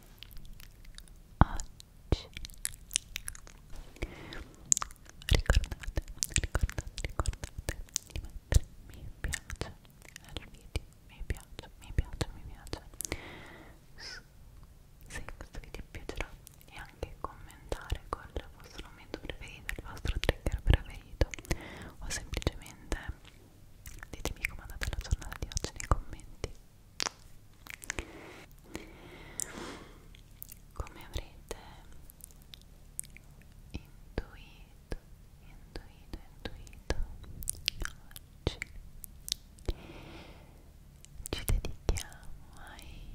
oggi ricordate, ricordate, ricordate di mettere mi piace al video mi piace, mi piace, mi piace se questo video vi piacerà e anche commentare col vostro momento preferito, il vostro trigger preferito o semplicemente ditemi come è andata la giornata di oggi nei commenti come avrete intuito, intuito, intuito, oggi ci dedichiamo ai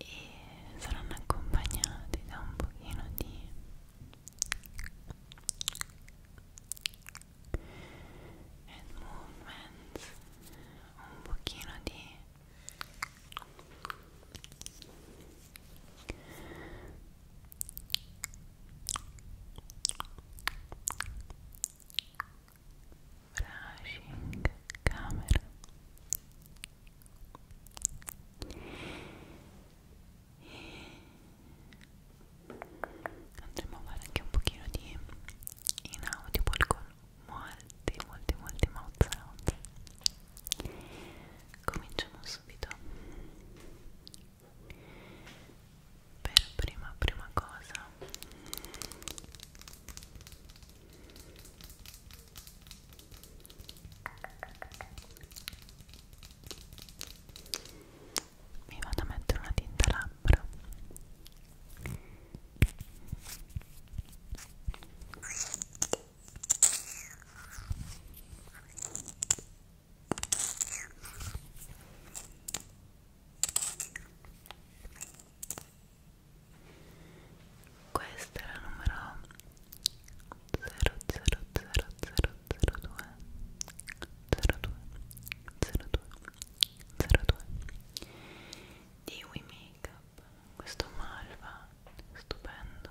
e saranno accompagnati da un pochino di head movement un pochino di e brushing camera andremo a fare anche un pochino di inaudible con molti molti molti mouth sound cominciamo subito per prima prima cosa mi vado a mettere una tinta labbra questa è la numero 000002 02 02 02 di We Makeup questo malva stupendo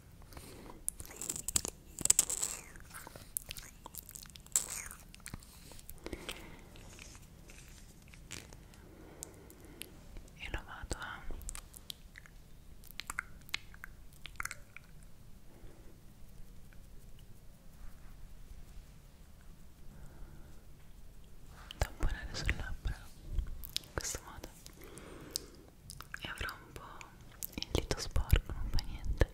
e lo vado a tamponare sul labbro in questo modo e avrò un po' il dito sporco, non fa niente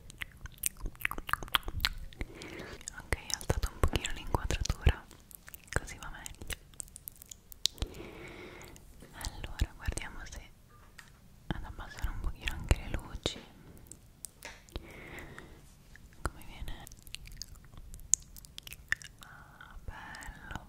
ok, ho alzato un pochino l'inquadratura così va meglio allora, guardiamo se ad abbassare un pochino anche le luci come viene ah bello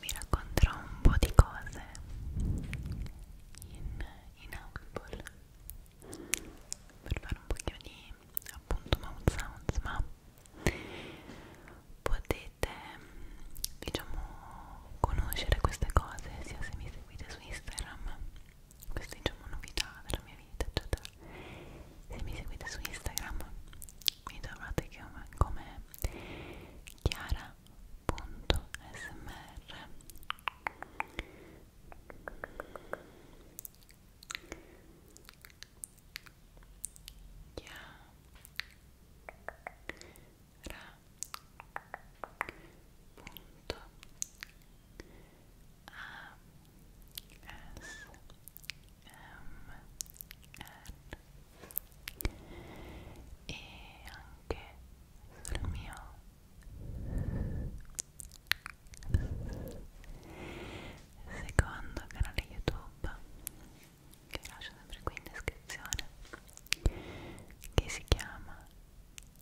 vi racconterò un po' di cose in, in Audible per fare un pochino di appunto mouth sounds ma potete diciamo conoscere queste cose sia se mi seguite su Instagram questa diciamo novità della mia vita eccetera se mi seguite su Instagram mi trovate come chiara.smr chiara.smr e anche sul mio secondo canale YouTube che lascio sempre qui in descrizione che si chiama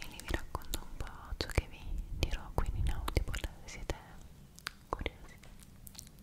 e lì vi racconto un po' ciò che vi dirò quindi in Audible se siete curiosi Eccoci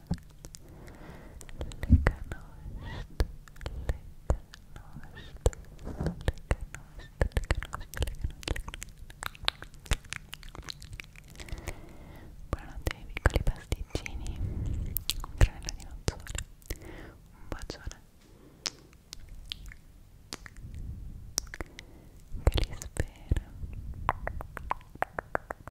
le canoste, le canoste, le canoste, le canoste, le canoste. Buonanotte ai piccoli pasticcini, un tranello di nozzole, un bacione. Che li spera.